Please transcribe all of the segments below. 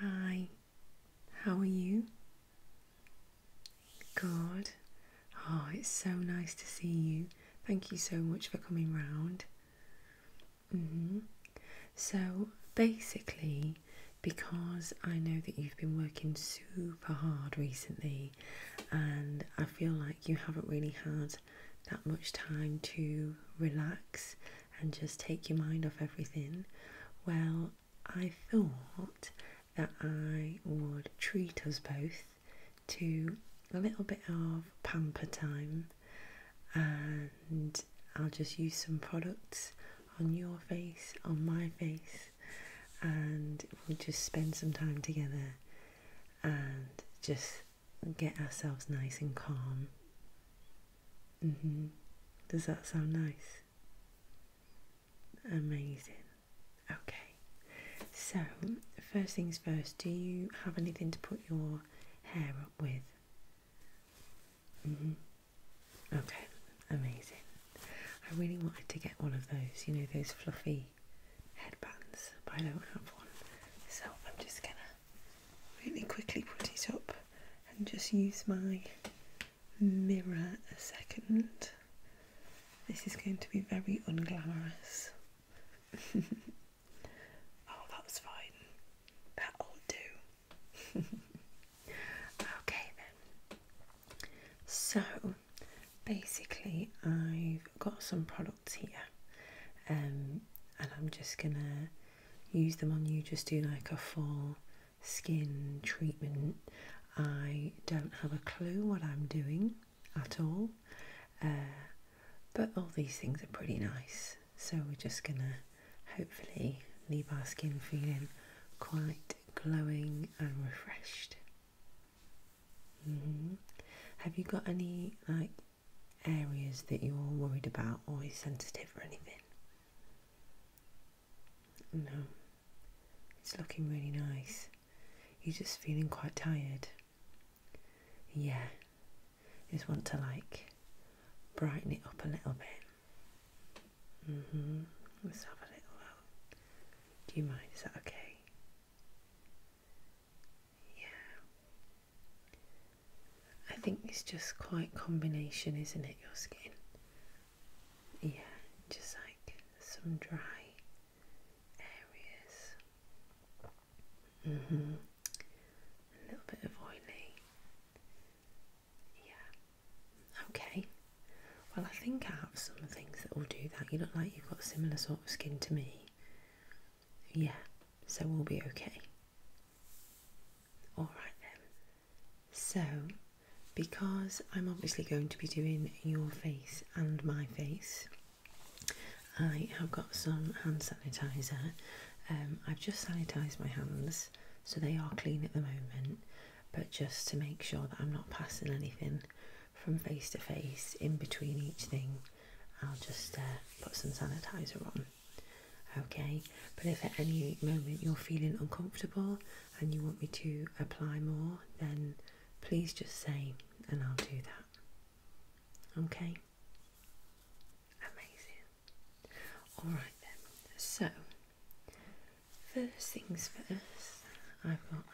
Hi, how are you? Good. Oh, it's so nice to see you. Thank you so much for coming round. -hmm. So, basically, because I know that you've been working super hard recently, and I feel like you haven't really had that much time to relax and just take your mind off everything. Well, I thought that I would treat us both to a little bit of pamper time and I'll just use some products on your face, on my face, and we'll just spend some time together and just get ourselves nice and calm. Mm-hmm. Does that sound nice? Amazing. Okay. So, first things first, do you have anything to put your hair up with? Mm-hmm. Okay, amazing. I really wanted to get one of those, you know, those fluffy headbands, but I don't have one. So I'm just gonna really quickly put it up and just use my mirror a second. This is going to be very unglamorous. oh, that's fine. That'll do. okay then. So, basically I've got some products here um, and I'm just gonna use them on you, just do like a full skin treatment. I don't have a clue what I'm doing at all, uh, but all these things are pretty nice. So we're just gonna hopefully leave our skin feeling quite glowing and refreshed. Mm-hmm. Have you got any like areas that you're worried about or is sensitive or anything? No, it's looking really nice. You're just feeling quite tired. Yeah, just want to like brighten it up a little bit. Mm hmm. Let's have a little Do you mind? Is that okay? Yeah. I think it's just quite combination, isn't it, your skin? Yeah, just like some dry areas. Mm hmm A little bit of oily. Yeah. Okay. Well, I think I have some things that will do that. You look like you've got similar sort of skin to me. Yeah, so we'll be okay. All right then. So, because I'm obviously going to be doing your face and my face, I have got some hand sanitizer. Um, I've just sanitized my hands, so they are clean at the moment, but just to make sure that I'm not passing anything from face to face in between each thing, I'll just uh, put some sanitizer on. Okay, but if at any moment you're feeling uncomfortable and you want me to apply more, then please just say, and I'll do that. Okay, amazing. All right, then, so first things first, I've got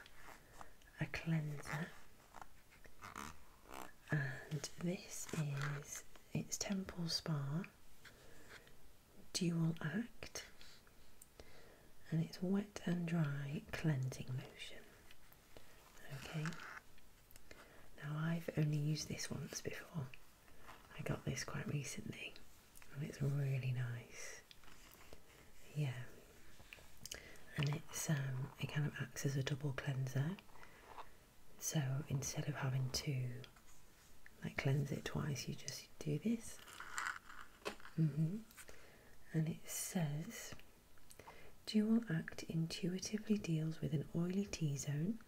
a cleanser, and this is it's Temple Spa dual act and it's wet and dry cleansing lotion. Okay, now I've only used this once before, I got this quite recently and it's really nice. Yeah, and it's um, it kind of acts as a double cleanser, so instead of having to like cleanse it twice, you just do this. Mm-hmm. And it says Dual Act intuitively deals with an oily T zone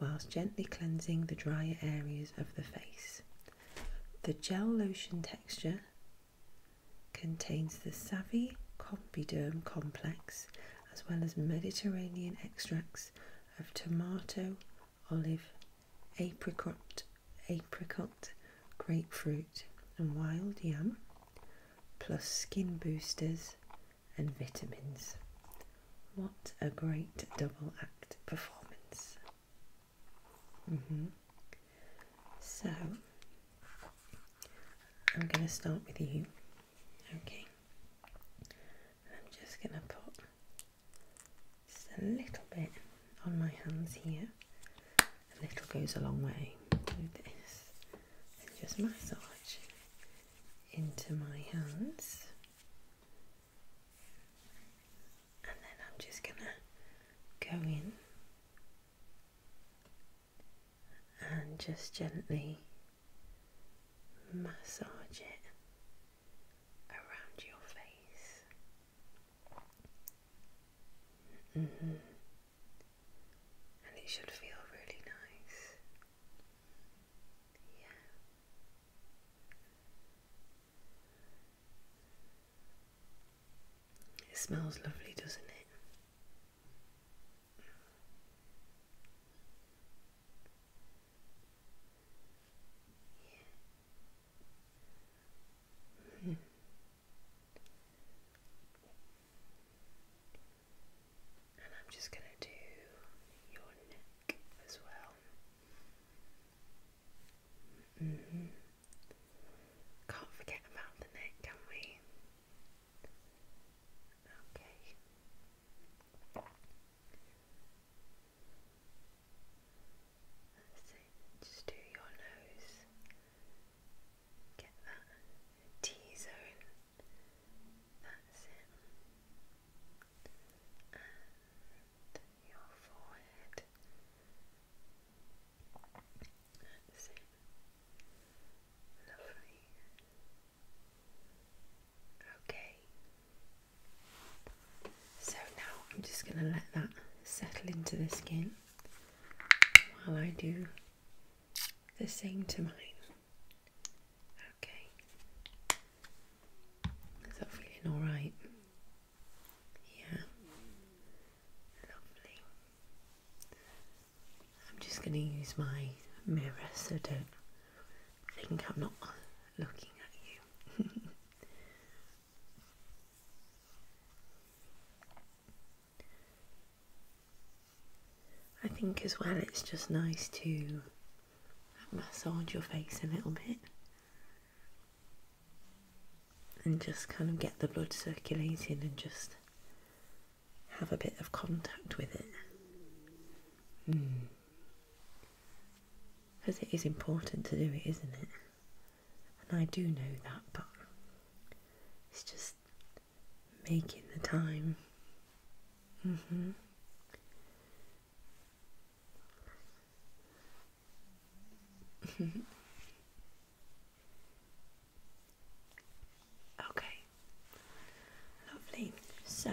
whilst gently cleansing the drier areas of the face. The gel lotion texture contains the Savvy Combiderm complex as well as Mediterranean extracts of tomato, olive, apricot, apricot, grapefruit and wild yam, plus skin boosters and vitamins. What a great double act performance. Mm-hmm. So, I'm going to start with you. Okay. I'm just going to put just a little bit on my hands here. A little goes a long way with this. And just massage into my hands. And then I'm just going to go in and just gently massage it around your face. Mm-hmm. And it should feel really nice. Yeah. It smells lovely, doesn't it? Yeah. Mm. And I'm just going to do your neck as well. Mm-hmm. Can't forget about the neck, can we? Okay. Just do your nose. Get that T zone. That's it. And your forehead. That's it. Lovely. Okay. So now I'm just going to let that settle into the skin while I do the same to mine. Okay. Is that feeling alright? Yeah. Lovely. I'm just going to use my mirror so don't think I'm not looking at you. I think as well it's just nice to massage your face a little bit and just kind of get the blood circulating and just have a bit of contact with it. Hmm because it is important to do it, isn't it? And I do know that, but it's just making the time. Mm hmm. okay, lovely. So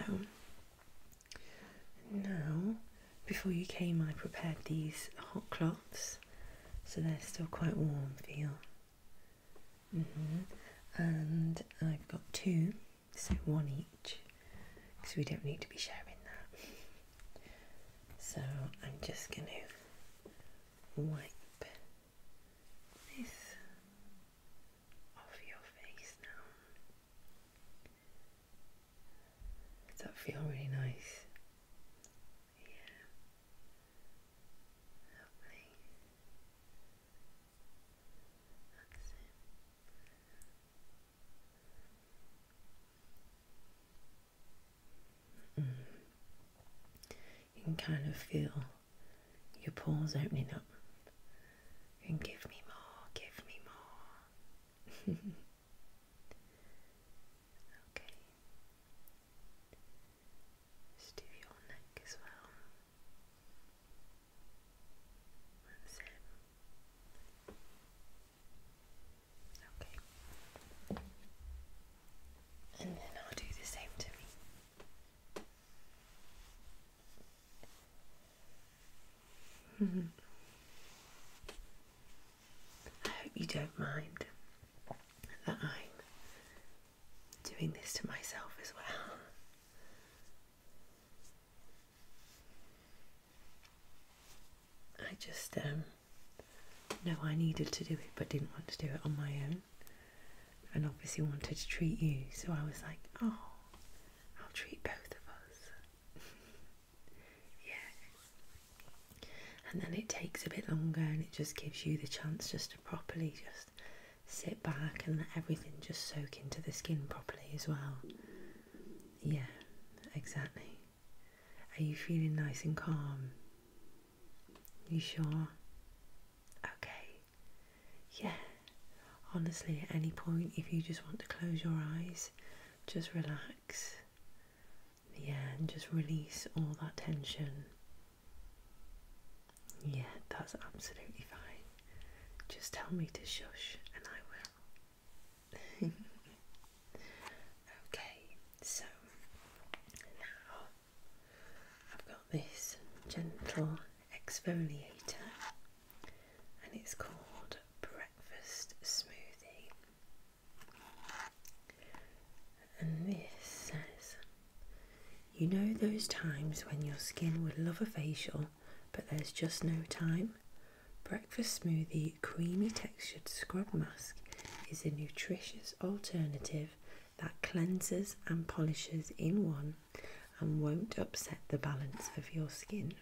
now, before you came, I prepared these hot cloths, so they're still quite warm. Feel. Mm mm-hmm. And I've got two, so one each, because we don't need to be sharing that. So I'm just going to wipe this off your face now. Does that feel really nice? Yeah. Lovely. That's it. You can kind of feel your pores opening up and give me more, give me more. Okay. Just do your neck as well. That's Okay. And then I'll do the same to me. I hope you don't mind that I'm doing this to myself as well. I just um, know I needed to do it but didn't want to do it on my own and obviously wanted to treat you so I was like oh I'll treat both of us Yeah. And then it takes a bit longer and it just gives you the chance just to properly just sit back and let everything just soak into the skin properly as well. Yeah, exactly. Are you feeling nice and calm? You sure? Okay. Yeah. Honestly, at any point, if you just want to close your eyes just relax. Yeah, and just release all that tension. Yeah, that's absolutely fine. Just tell me to shush and I will. okay, so now I've got this gentle exfoliator and it's called breakfast smoothie. And this says, You know those times when your skin would love a facial, but there's just no time? Breakfast Smoothie Creamy Textured Scrub Mask is a nutritious alternative that cleanses and polishes in one and won't upset the balance of your skin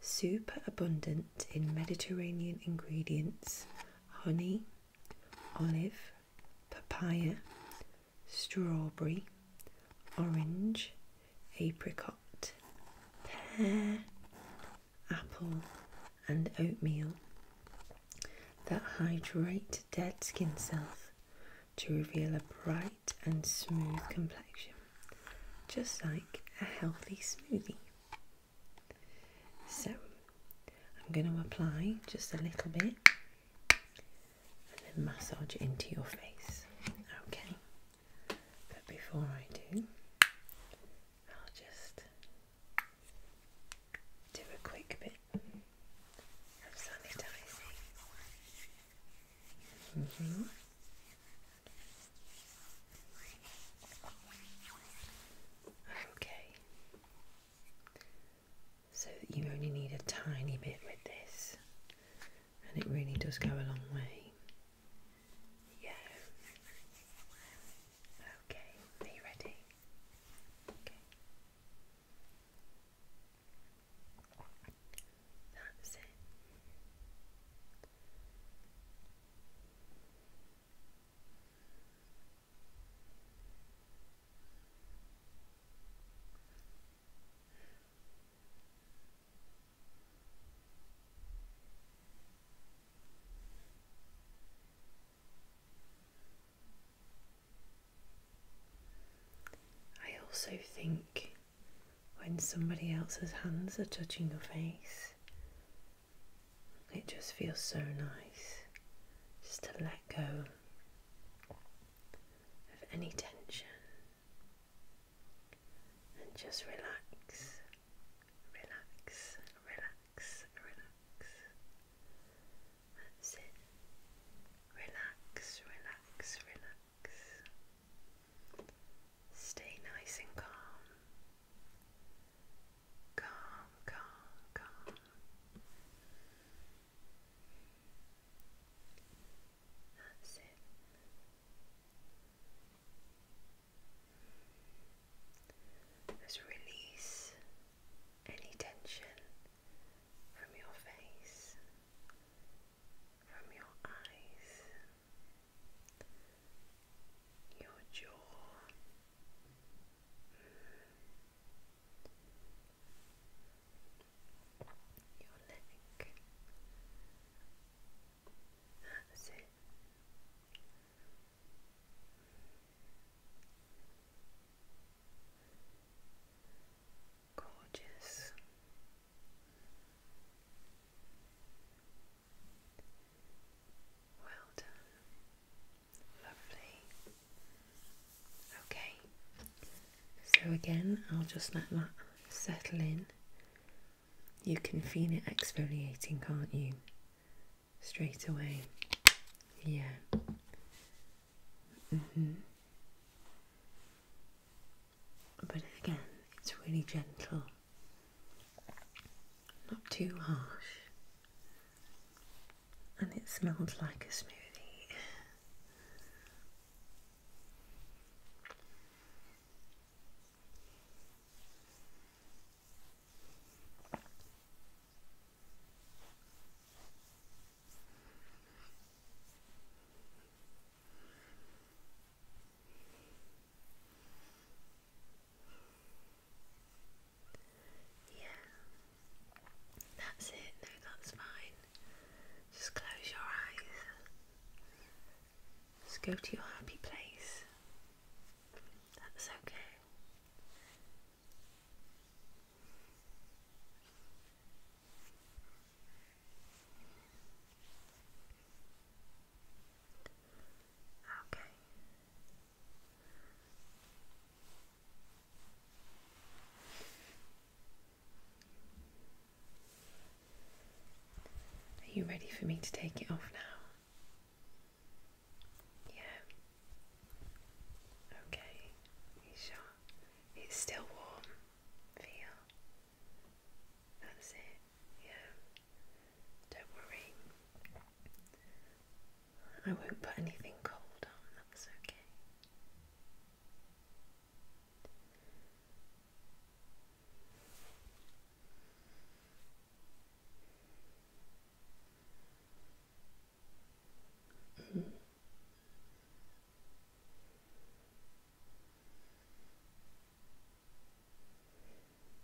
super abundant in Mediterranean ingredients honey, olive, papaya, strawberry, orange, apricot, pear, apple, and oatmeal that hydrate dead skin cells to reveal a bright and smooth complexion just like a healthy smoothie. So I'm going to apply just a little bit and then massage it into your face. Okay, but before I do, I'll just do a quick bit of sanitizing. Mm-hmm. Okay, so you only need a tiny bit with this, and it really does go a long way. Yeah. Okay, are you ready? Okay. That's it. I also think when somebody else's hands are touching your face. It just feels so nice just to let go of any tension and just relax, relax, relax, relax. Relax, relax, relax. Stay nice and calm. Calm, calm, calm. That's it. Let's release any tension from your face, from your eyes your jaw. Your leg. That's it. Gorgeous. Well done. Lovely. Okay, so again, I'll just let that settle in. You can feel it exfoliating, can't you? Straight away. Yeah. hmm But again, it's really gentle. Not too harsh. And it smells like a smoothie. Yeah, that's it. No, that's fine. Just close your eyes. Just go to your happy place. That's okay. Okay. Are you ready for me to take it off now? Yeah. Okay. sure? It's still warm. Feel. That's it. Yeah. Don't worry. I won't put anything cold on, that's okay. Mm.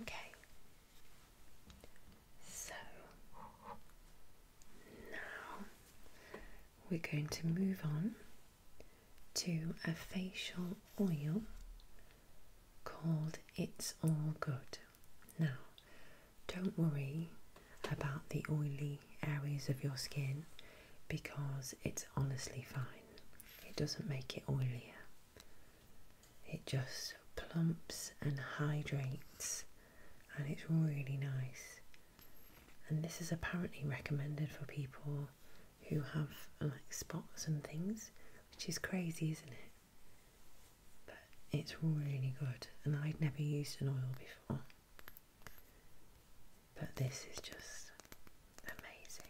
Okay. So now we're going to move on to a facial oil called It's All Good. Now, don't worry about the oily areas of your skin because it's honestly fine. It doesn't make it oilier. It just plumps and hydrates, and it's really nice. And this is apparently recommended for people who have like spots and things, which is crazy, isn't it? But it's really good, and I'd never used an oil before. But this is just amazing.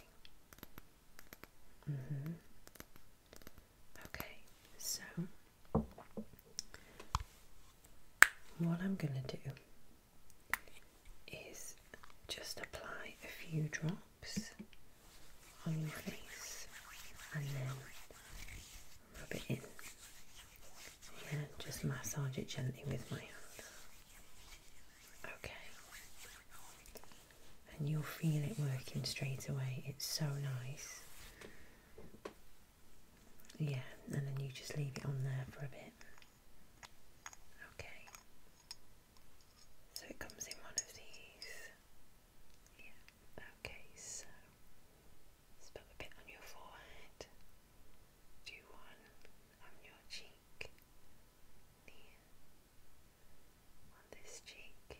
Mm-hmm. Okay, so what I'm going to do is just apply a few drops on your face and then rub it in. Yeah, just massage it gently with my hands. Okay and you'll feel it working straight away. It's so nice. Yeah, and then you just leave it on there for a bit. Okay. So it comes in one of these. Yeah, okay, so put a bit on your forehead, do one on your cheek, there, on this cheek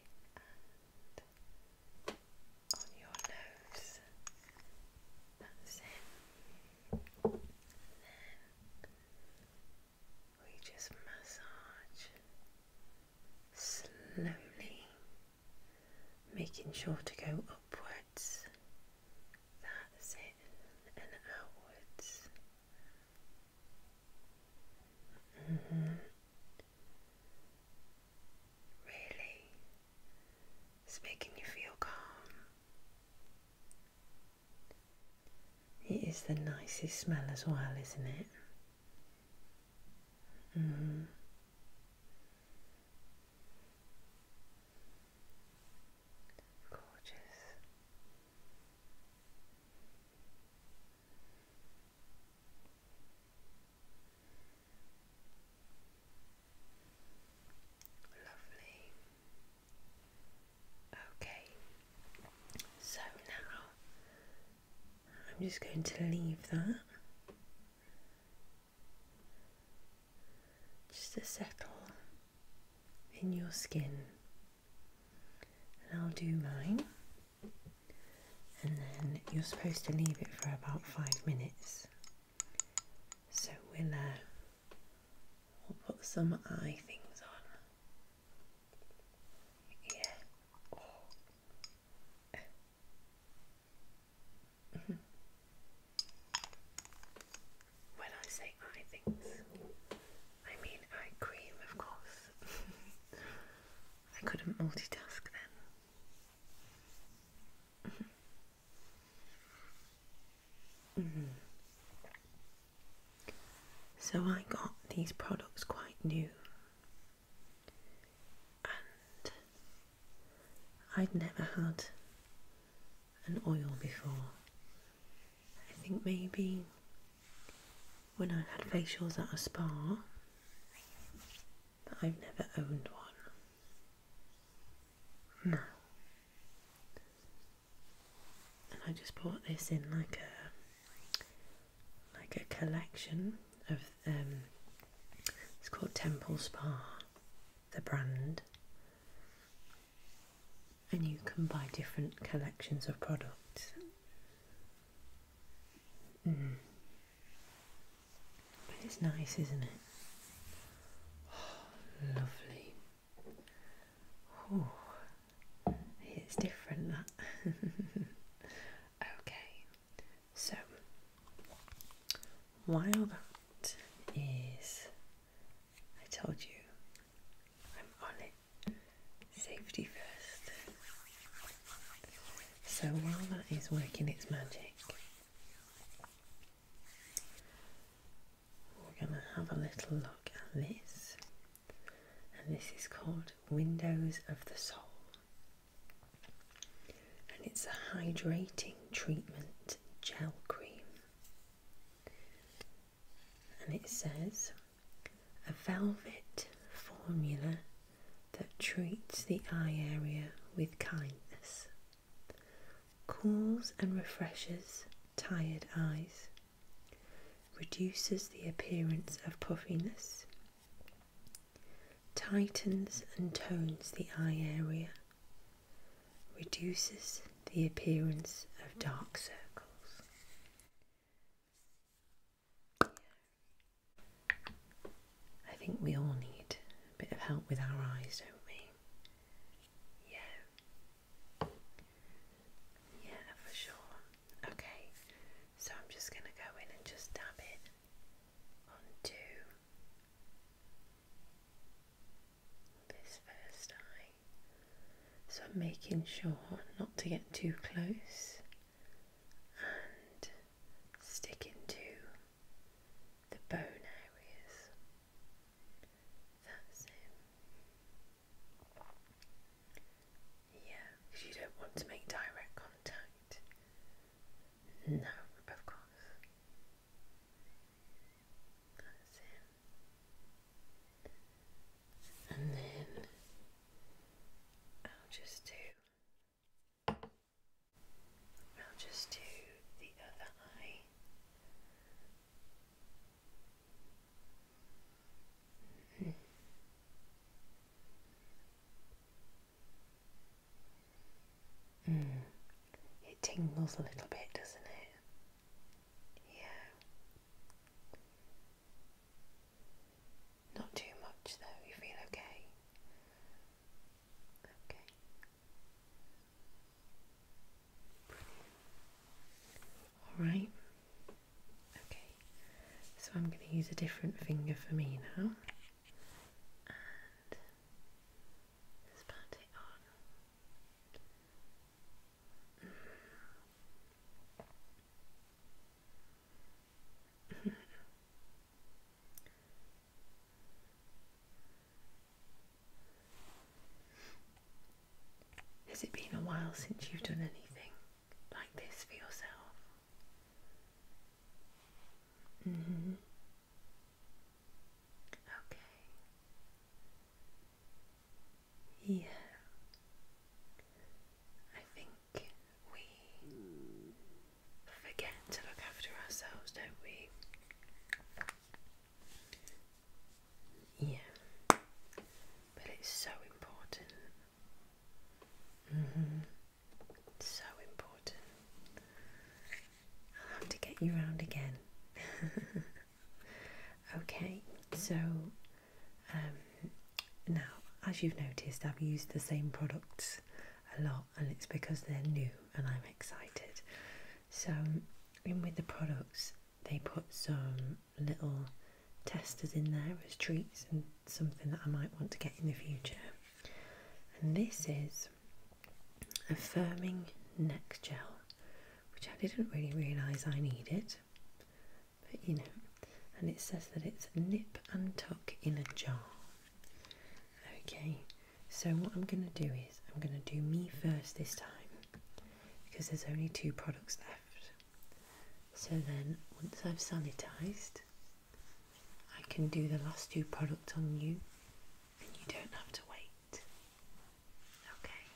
on your nose. That's it. then we just massage slowly, making sure to go upwards. That's it, and outwards. Mm -hmm. Really? It's making you feel calm. It is the nicest smell as well, isn't it? Mm -hmm. Gorgeous. Lovely. Okay, so now I'm just going to leave that just to settle in your skin, and I'll do mine and then you're supposed to leave it for about five minutes. So we'll, uh, we'll put some eye things on. Yeah. When I say eye things, I mean eye cream, of course. I couldn't multitask then. Mm-hmm. So I got these products quite new. And I'd never had an oil before. I think maybe when I had facials at a spa, but I've never owned one. No. And I just bought this in like a like a collection of um it's called Temple Spa, the brand. And you can buy different collections of products but it's nice, isn't it? lovely. Oh, it's different that. okay, so while that is, I told you I'm on it. Safety first. So while that is working its magic, we're going to have a little look at this, and this is called Windows of the Soul, and it's a hydrating treatment gel cream, and it says a velvet formula that treats the eye area with kindness, cools and refreshes tired eyes, reduces the appearance of puffiness, tightens and tones the eye area, reduces the appearance of dark circles. I think we all need a bit of help with our eyes, don't we? Yeah. Yeah, for sure. Okay, so I'm just going to go in and just dab it onto this first eye. So I'm making sure not to get too close and stick into the bone areas. That's it. Yeah, because you don't want to make direct contact. No, of course. That's it and then I'll just do I'll just do the other eye. Mm-hmm. Mm -hmm. It tingles a little bit, doesn't it? Yeah. Not too much though, you feel okay? Okay. Alright. Okay. So I'm going to use a different finger for me now. And just pat it on. Mm. Has it been a while since you've done anything like this for yourself? hmm. Okay. Yeah. I think we forget to look after ourselves, don't we? Yeah, but it's so important. -hmm. So important. I'll have to get you round again. okay, so um, now, as you've noticed, I've used the same products a lot, and it's because they're new and I'm excited. So, in with the products, they put some little testers in there as treats and something that I might want to get in the future. And this is a firming neck gel, which I didn't really realise I needed but you know. And it says that it's nip and tuck in a jar. Okay, so what I'm going to do is I'm going to do me first this time because there's only two products left. So then, once I've sanitized, I can do the last two products on you and you don't have to wait. Okay.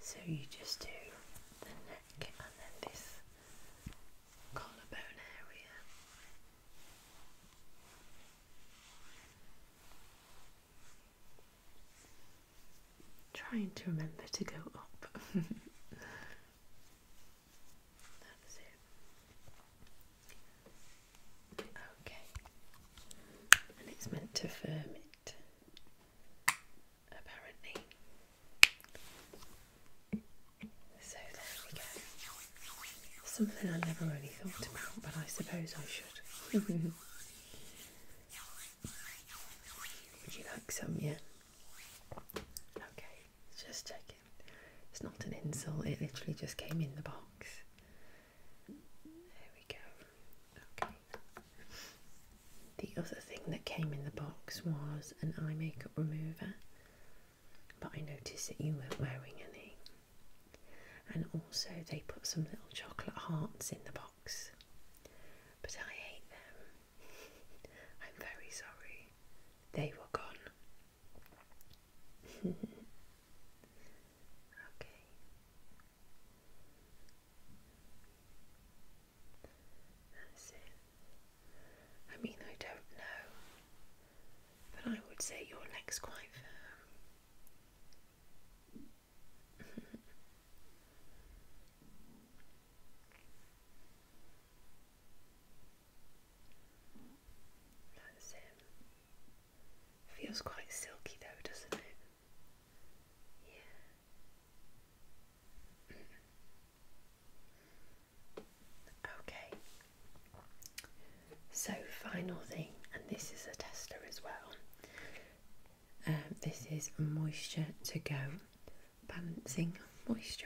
So you just do the neck and then this collarbone area. Trying to remember to go up. That's it. Okay. And it's meant to firm it apparently. So there we go. Something I never really thought about, but I suppose I should. Would you like some, yeah? Okay, just checking. It's not an insult, it literally just came in the box. There we go. Okay. The other thing that came in the box was an eye makeup remover, but I noticed that you weren't wearing any. And also, they put some little chocolate hearts in the box, but I ate them. I'm very sorry, they were gone. okay, that's it. I mean, I don't know, but I would say your leg's quite firm. That's it. Feels quite silky though, doesn't it? Yeah. Okay, so final thing, and this is a tester as well. Um, this is Moisture to Go Balancing Moisturiser.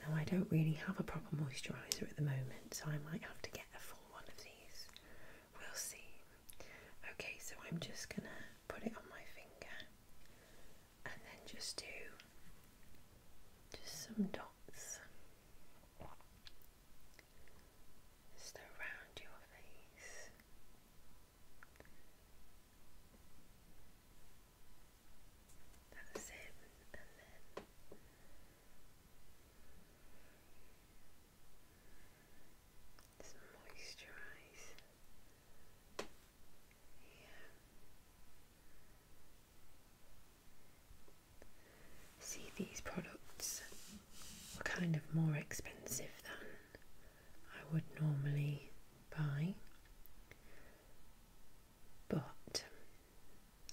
Now, I don't really have a proper moisturiser at the moment, so I might have to get a full one of these We'll see. Okay, so I'm just going to put it on my finger and then just do just some dots just around your face. That's it, and then just moisturize. See, these products are kind of more expensive than I would normally buy, but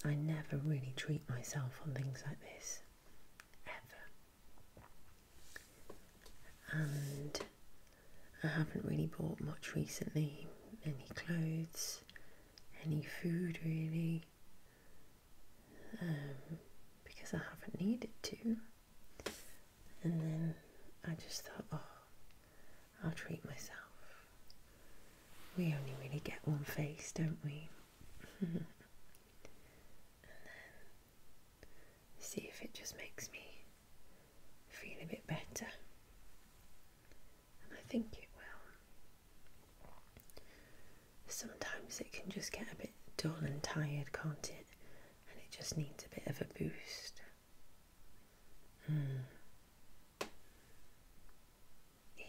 I never really treat myself on things like this ever and I haven't really bought much recently any clothes, any food really, um, because I haven't needed to. And then I just thought, oh, I'll treat myself. We only really get one face, don't we? see if it just makes me feel a bit better. And I think it will. Sometimes it can just get a bit dull and tired, can't it? And it just needs a bit of a boost. Mm. Yeah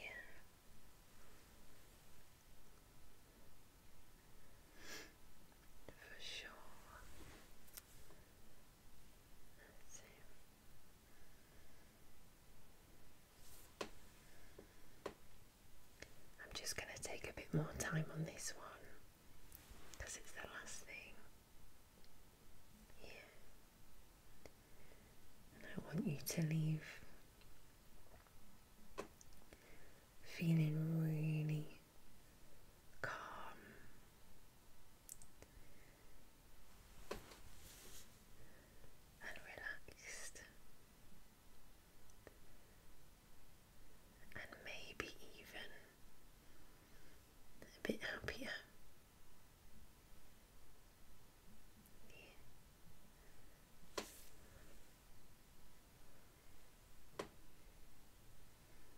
for sure. I'm just going to take a bit more time on this one because it's the last thing. Yeah. And I want you to leave feeling really calm. And relaxed, and maybe even a bit happier.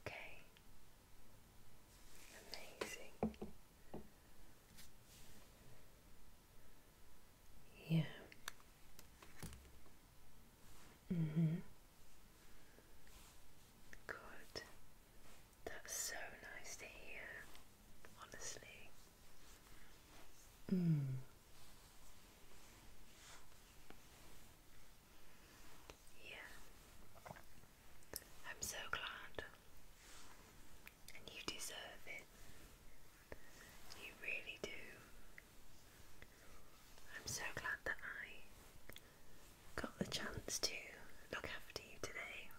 Okay. Amazing. Yeah. Mhm. Good. That's so nice to hear. Honestly. Mm. Yeah. I'm so glad. And you deserve it. You really do. I'm so glad that I got the chance to look after you today.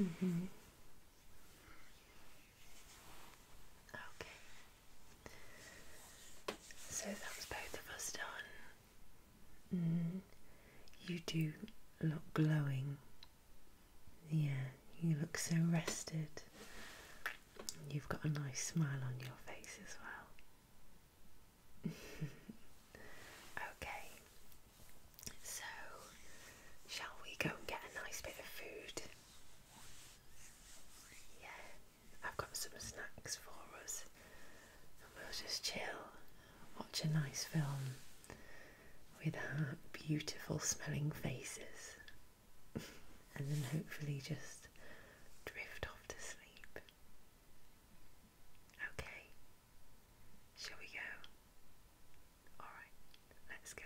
Mm hmm. Okay. So that was both of us done. Mm. you do look glowing. Yeah, you look so rested. You've got a nice smile on your face as well. okay, so shall we go and get a nice bit of food yeah, I've got some snacks for us, and we'll just chill, watch a nice film with our beautiful smelling faces, and then hopefully just drift off to sleep. Okay, shall we go? Alright, let's go.